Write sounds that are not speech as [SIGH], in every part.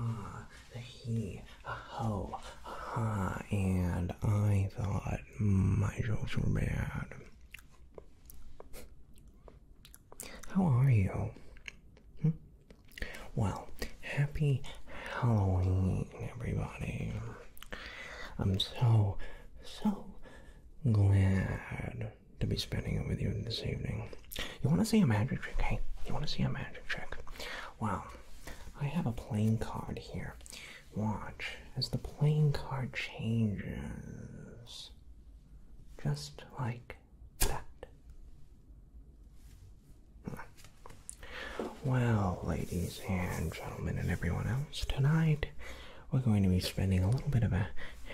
Aha, uh-huh. a he, a aha, and I thought my jokes were bad. How are you? Hmm? Well, happy Halloween, everybody. I'm so, so glad to be spending it with you this evening. You want to see a magic trick? Hey, you want to see a magic trick? Well, I have a playing card here. Watch as the playing card changes. Just like that. Well, ladies and gentlemen, and everyone else, tonight we're going to be spending a little bit of a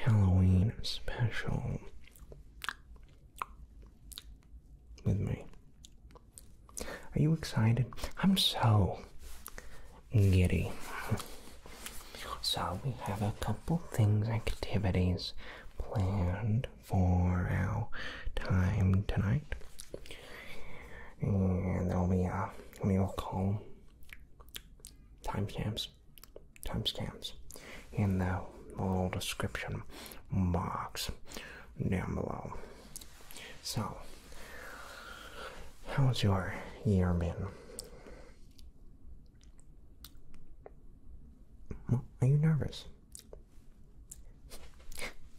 Halloween special with me. Are you excited? I'm so giddy. So, we have a couple things, activities planned for our time tonight. And there'll be a, we will call timestamps, timestamps in the uh, below all description box down below so how's your year been are you nervous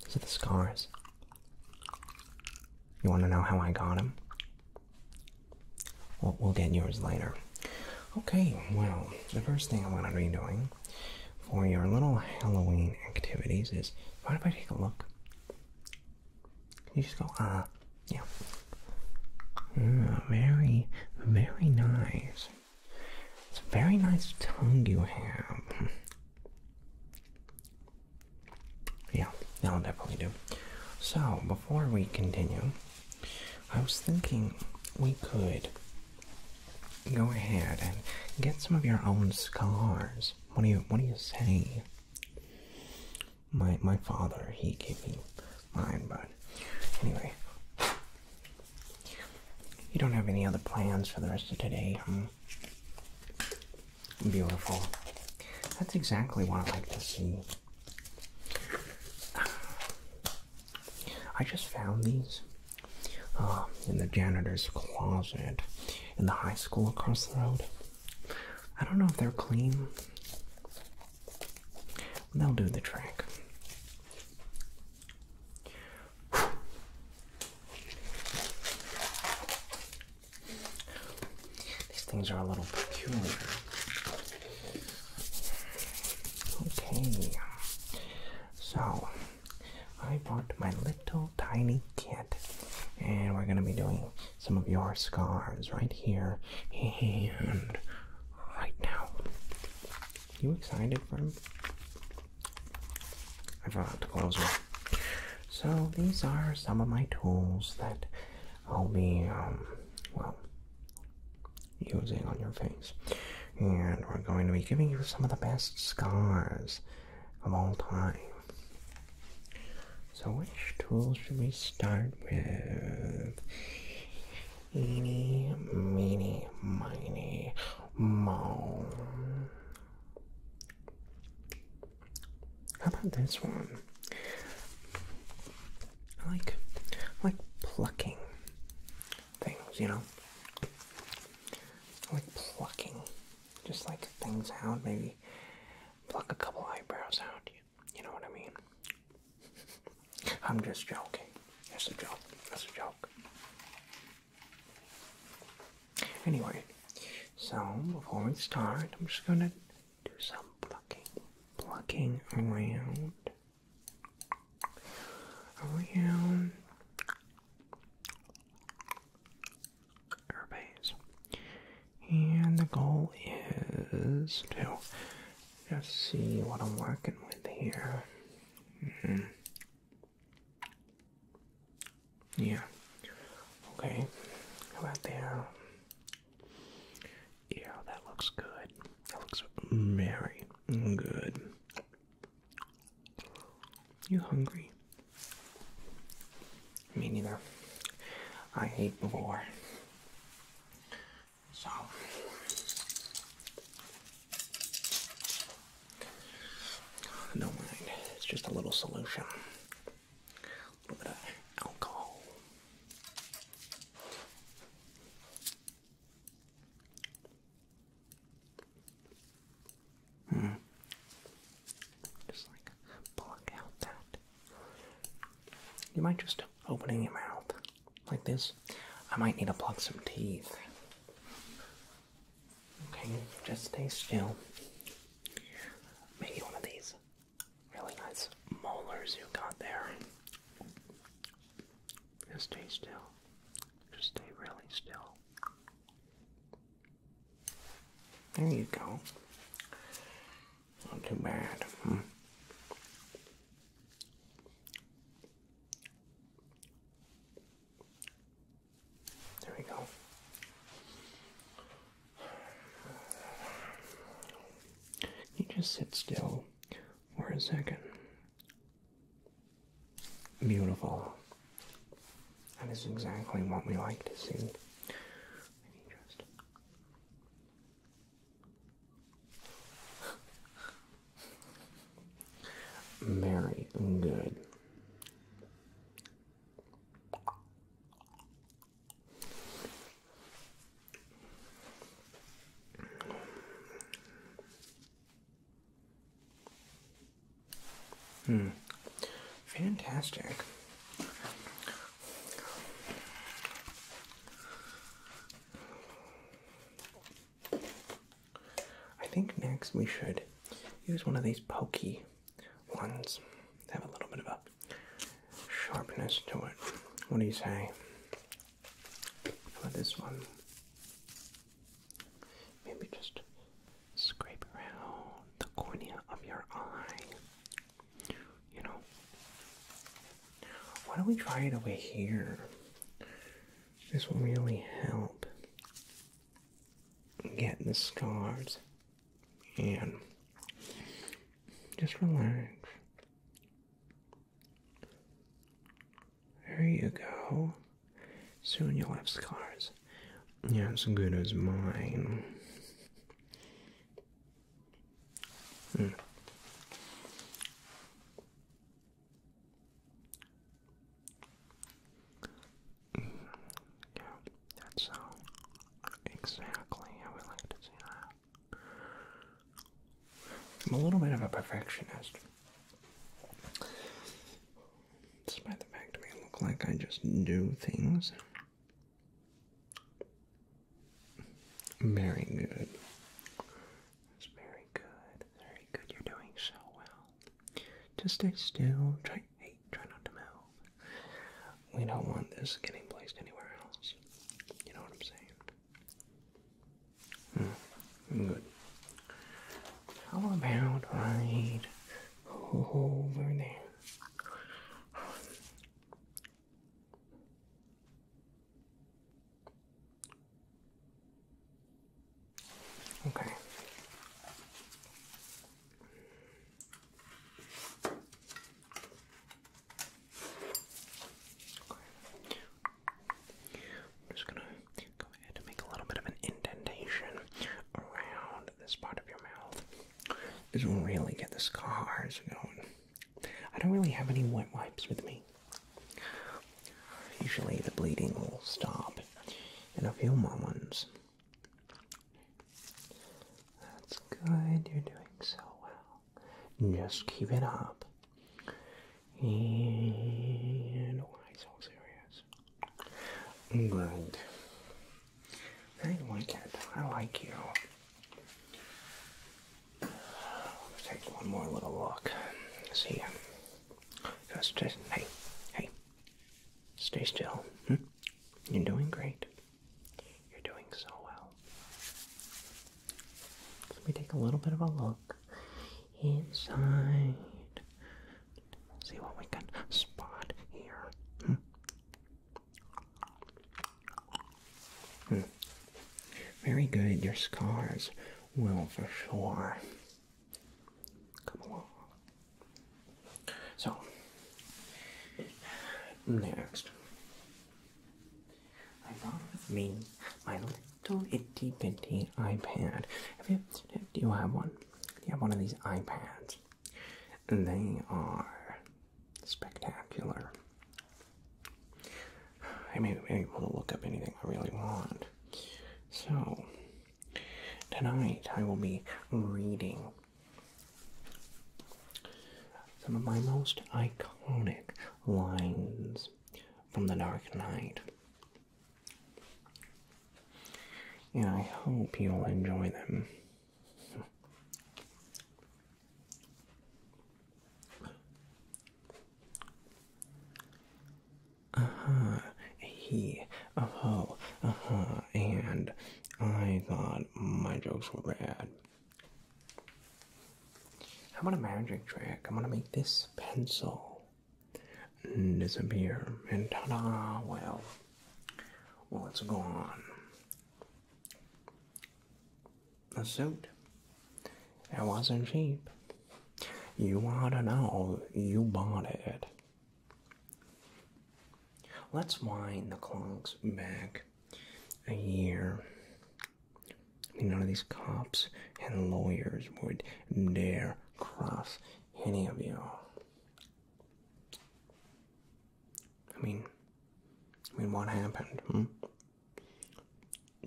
these are the scars you want to know how i got them well, we'll get yours later okay well the first thing i'm going to be doing for your little Halloween activities is why don't I take a look? You just go, ah, yeah. Mm, very, very nice. It's a very nice tongue you have. Yeah, that'll definitely do. So, before we continue, I was thinking we could go ahead and get some of your own scars. What do you what do you say? My my father, he gave me mine, but anyway. You don't have any other plans for the rest of today, Beautiful. That's exactly what I like to see. I just found these um, in the janitor's closet in the high school across the road. I don't know if they're clean. They'll do the trick. These things are a little peculiar. Okay, so I brought my little tiny kit, and we're gonna be doing some of your scars right here and right now. You excited for him? I forgot to close it. So these are some of my tools that I'll be um, well using on your face. And we're going to be giving you some of the best scars of all time. So, which tool should we start with? Eeny, meeny, miny, mo. How about this one? I like, like plucking things, you know? like plucking, just like things out, maybe pluck a couple eyebrows out, you know what I mean? [LAUGHS] I'm just joking. That's a joke. That's a joke. Anyway, so before we start, I'm just gonna do some plucking. Plucking around around airbase. And the goal is to just see what I'm working with here. Hmm. Yeah. Okay. How about there? Yeah, that looks good. That looks very good. You hungry? Me neither. I ate war. So do mind. It's just a little solution. A little bit of alcohol. Hmm. Just like block out that. You might just opening your mouth like this. I might need to plug some teeth. Okay, just stay still. Maybe one of these really nice molars you got there. Just stay still. Just stay really still. There you go. Not too bad. Hmm. There we go. just sit still for a second. Beautiful. That is exactly what we like to see. Just... Very good. Hmm. Fantastic. I think next we should use one of these pokey ones. have a little bit of a sharpness to it. What do you say? for this one. Maybe just scrape around the cornea of your eye. You know? Why don't we try it over here? This will really help get the scars and just relax. There you go. Soon you'll have scars. Yeah, as good as mine. Hmm. Yeah, that's how exactly how we like to see that. I'm a little bit of a perfectionist. Despite the fact it may look like I just do things very good. That's very good. Very good. You're doing so well. Just stay still. Try hey, try not to move. We don't want this getting placed anywhere else. You know what I'm saying? Mm, good. How about right over there? Okay. I'm just gonna go ahead and make a little bit of an indentation around this part of your mouth. This will really get the scars going. I don't really have any wet wipes with me. Usually the bleeding will stop in a few moments. That's good, you're doing so well. Just keep it up. And why oh, so serious? Good. I like it. I like you. Let's take one more little look. See Just, hey, hey. Stay still. Hmm? You're doing great. You're doing so well. Let me take a little bit of a look inside. See what we can spot here. Hmm. Hmm. Very good. Your scars well for sure come along. So, next, I along with me my little itty bitty iPad. do you have one? Do you have one of these iPads? They are spectacular. I mean, I'm able to look up anything I really want. So, tonight I will be reading some of my most iconic lines from the Dark Knight. And I hope you'll enjoy them. Uh-huh, he, uh-huh, uh-huh, and I thought my jokes were bad. I'm on a magic trick. I'm gonna make this pencil mm, disappear, and ta-da! Well, well, it's gone. The suit. It wasn't cheap. You ought to know you bought it. Let's wind the clocks back a year I none of these cops and lawyers would dare cross any of you. I mean, I mean, what happened? Hmm?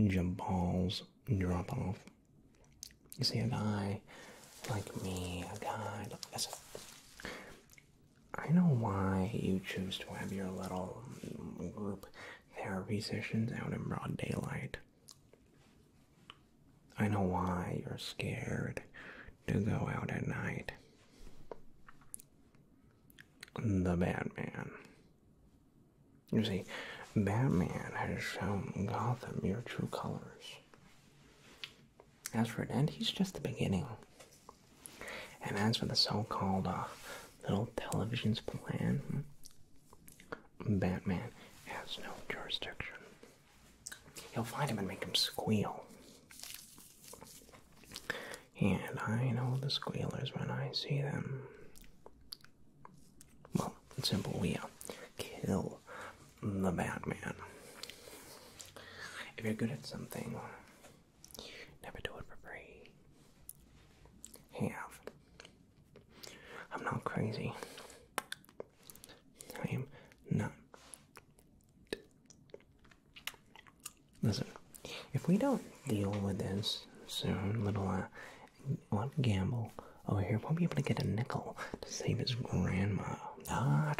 Jabal's drop off. You see, a guy like me, a guy, look, listen. I know why you choose to have your little group there are sessions out in broad daylight. I know why you're scared to go out at night. The Batman. You see, Batman has shown Gotham your true colors. As for it, and he's just the beginning. And as for the so-called uh, little television's plan, Batman has no jurisdiction. He'll find him and make him squeal. And I know the squealers when I see them. Well, it's simple. We uh, kill the Batman. If you're good at something, never do it for free. Have I'm not crazy. I am not. Listen, if we don't deal with this soon, little uh, gamble over oh, here won't be able to get a nickel to save his grandma. Ah,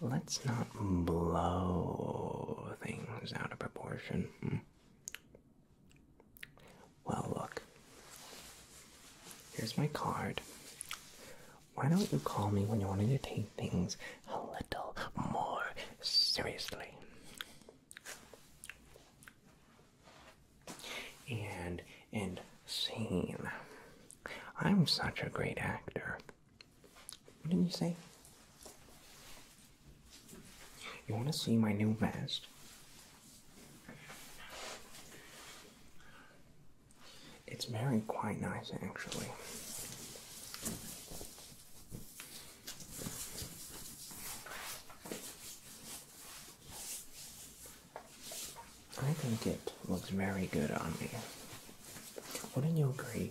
Let's not blow things out of proportion. Hmm. Well, look. Here's my card. Why don't you call me when you're wanting to take things a little more seriously? And scene. I'm such a great actor. What did you say? You want to see my new vest? It's very quite nice actually. I think it looks very good on me. Wouldn't you agree?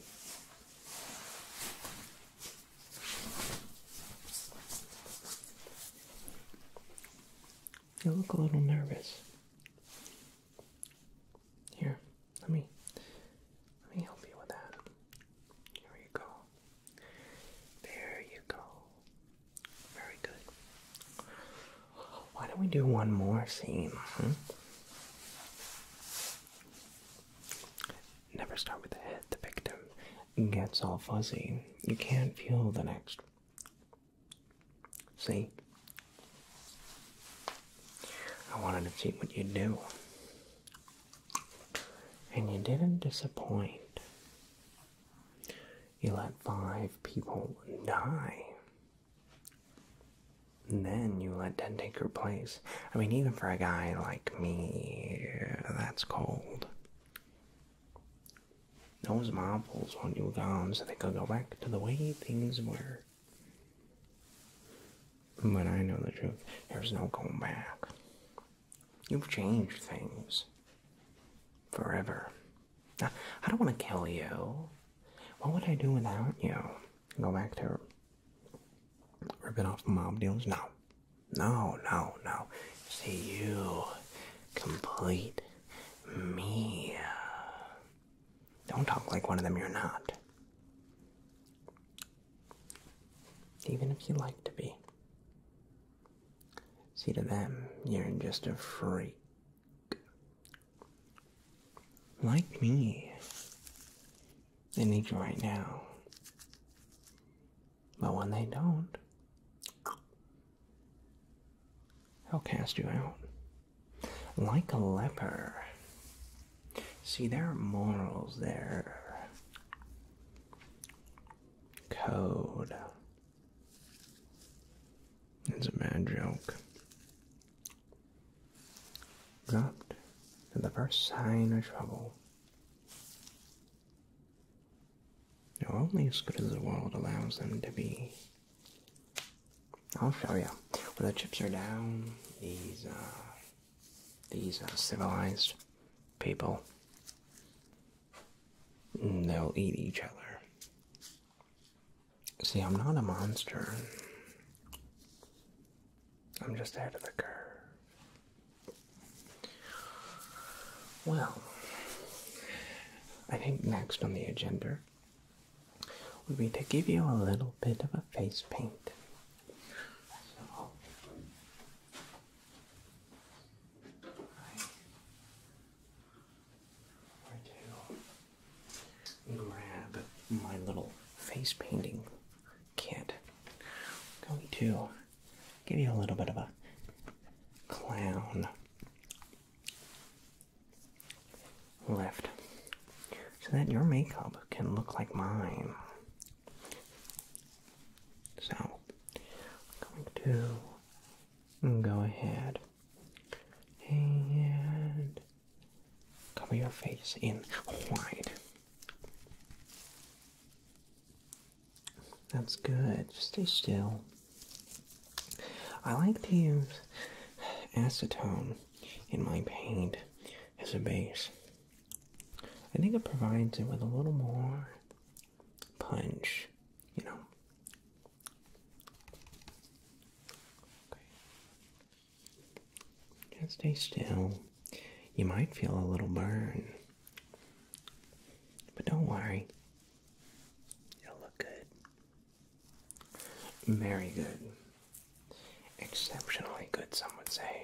You look a little nervous. Here, let me let me help you with that. Here you go. There you go. Very good. Why don't we do one more scene? Never start with the head. The victim gets all fuzzy. You can't feel the next. See? I wanted to see what you'd do. And you didn't disappoint. You let five people die. then you let ten take your place. I mean, even for a guy like me, that's cold. Those marbles want you gone so they could go back to the way things were. But I know the truth. There's no going back. You've changed things. Forever. I don't want to kill you. What would I do without you? Go back to ripping off mob deals. No, no, no, no. See you, complete me. Don't talk like one of them. You're not. Even if you like to be. See, to them, you're just a freak. Like me. They need you right now. But when they don't, I'll cast you out. Like a leper. See, there are morals there. Code. It's a bad joke. Dropped at the first sign of trouble. They're only as good as the world allows them to be. I'll show you. When the chips are down, these are uh, these are uh, civilized people, mm, they'll eat each other. See, I'm not a monster. I'm just ahead of the curve. Well, I think next on the agenda would be to give you a little bit of a face paint. So, I'm grab my little face painting kit. going to give you a little bit of a clown lift so that your makeup can look like mine. So, I'm going to go ahead and cover your face in white. That's good. stay still. I like to use acetone in my paint as a base. I think it provides it with a little more punch, you know. Okay. Just stay still. You might feel a little burn. But don't worry, you will look good. Very good. Exceptionally good, some would say.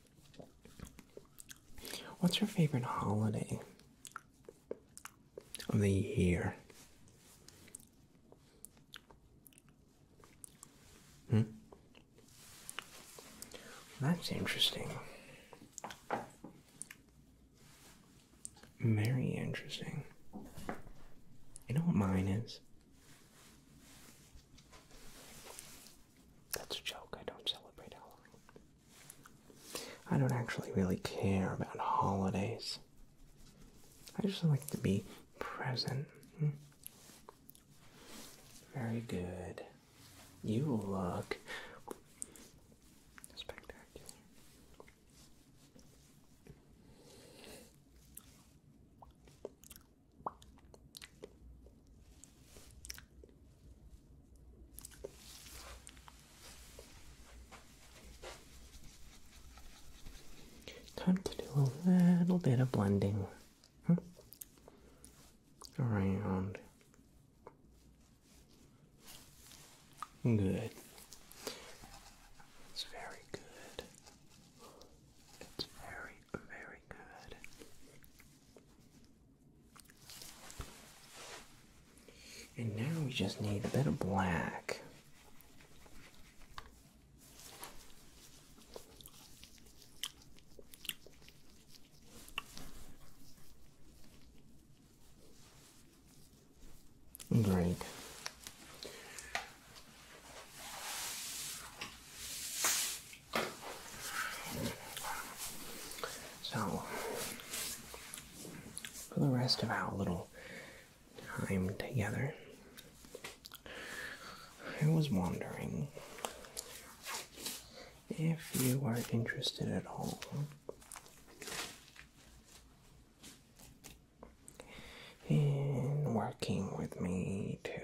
What's your favorite holiday of the year? Hmm? That's interesting. Very interesting. You know what mine is? That's a joke. I don't celebrate Halloween. I don't actually really care about holidays. I just like to be present. Hmm. Very good. You look spectacular. Time to do a little bit of blending hmm? around. Good. It's very good. It's very, very good. And now we just need a bit of black. Great. So, for the rest of our little time together, I was wondering if you are interested at all in working with me to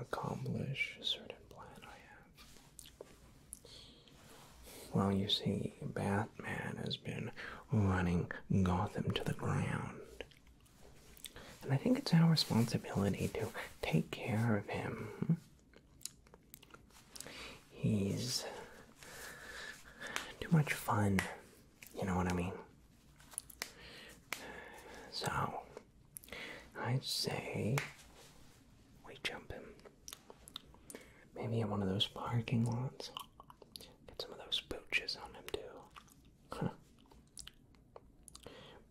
accomplish certain well, you see, Batman has been running Gotham to the ground. And I think it's our responsibility to take care of him. He's too much fun, you know what I mean? So, I'd say we jump him. Maybe in one of those parking lots. Get some of those pooches on him too. Huh.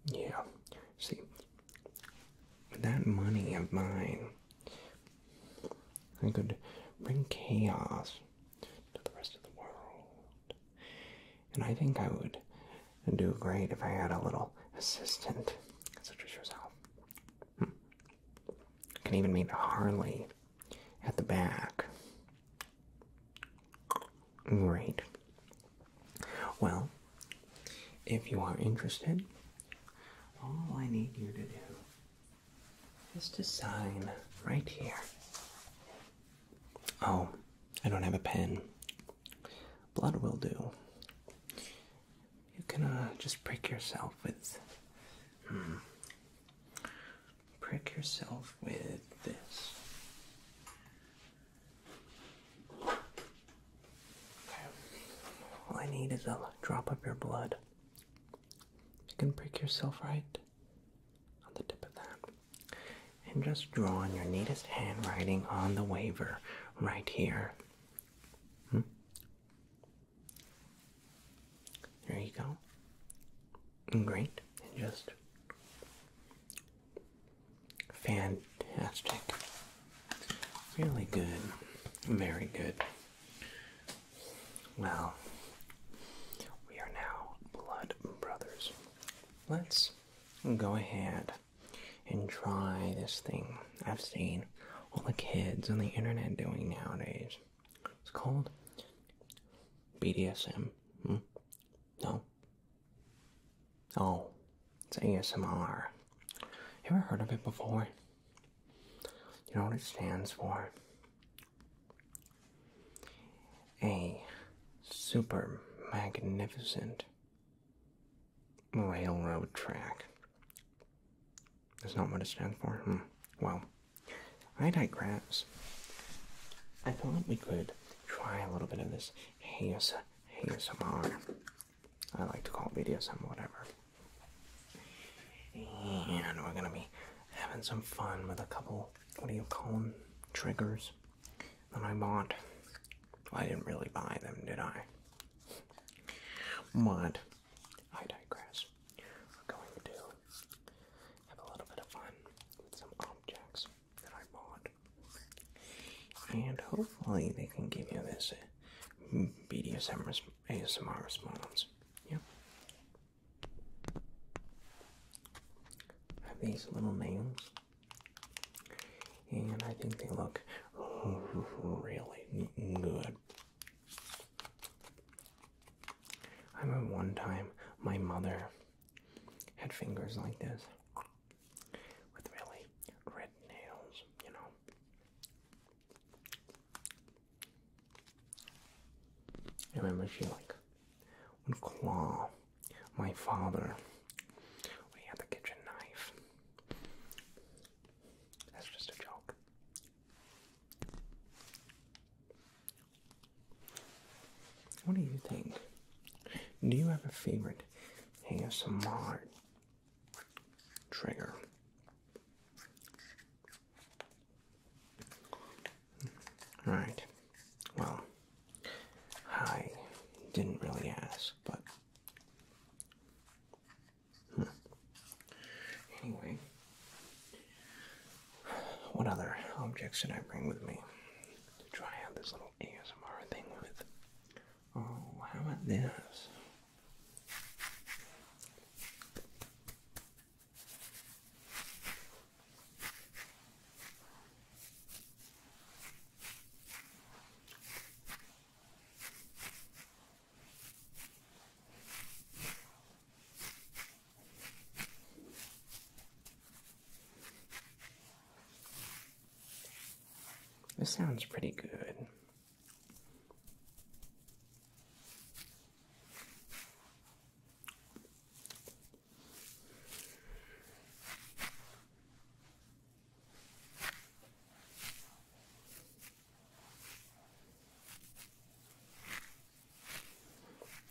Yeah. See, that money of mine, I could bring chaos to the rest of the world. And I think I would and do great if I had a little assistant such as yourself. Hmm. Can even meet Harley at the back. Great. Well, if you are interested, all I need you to do is to sign right here. Oh, I don't have a pen blood will do. You can uh, just prick yourself with. Hmm. prick yourself with this. Okay. All I need is a drop of your blood. You can prick yourself right on the tip of that and just draw in your neatest handwriting on the waiver right here. Hmm? There you go. Great. just fantastic. Really good. Very good. Well, we are now blood brothers. Let's go ahead and try this thing I've seen all the kids on the internet doing nowadays. It's called BDSM. Hmm? No. Oh, it's ASMR. You ever heard of it before? You know what it stands for? A super magnificent Railroad track. That's not what it stands for. Hmm. Well, I digress. I thought we could try a little bit of this AS ASMR. I like to call it BDSM, whatever. And we're gonna be having some fun with a couple, what do you call them, triggers that I bought. I didn't really buy them, did I? But I digress. We're going to have a little bit of fun with some objects that I bought. And hopefully they can give you this BDSM uh, res ASMR response. Yep. these little nails and I think they look really good. I remember one time my mother had fingers like this with really red nails, you know. I remember she like one claw my father. We had the kitchen knife. That's just a joke. What do you think? Do you have a favorite ASMR trigger? Right. Well, I didn't really ask, but. Hmm. Anyway, what other objects did I bring with me to try out this little ASMR thing with? Oh, how about this? This sounds pretty good.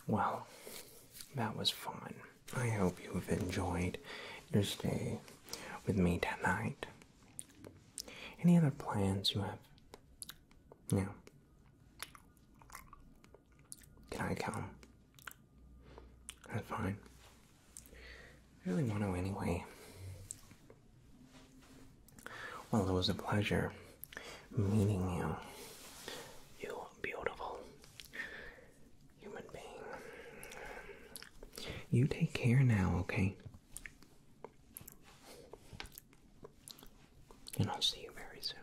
Well, that was fun. I hope you've enjoyed your stay with me tonight. Any other plans you have? No. Can I come? That's fine. I really want to anyway. Well, it was a pleasure meeting you. You beautiful human being. You take care now, okay? And I'll see you very soon.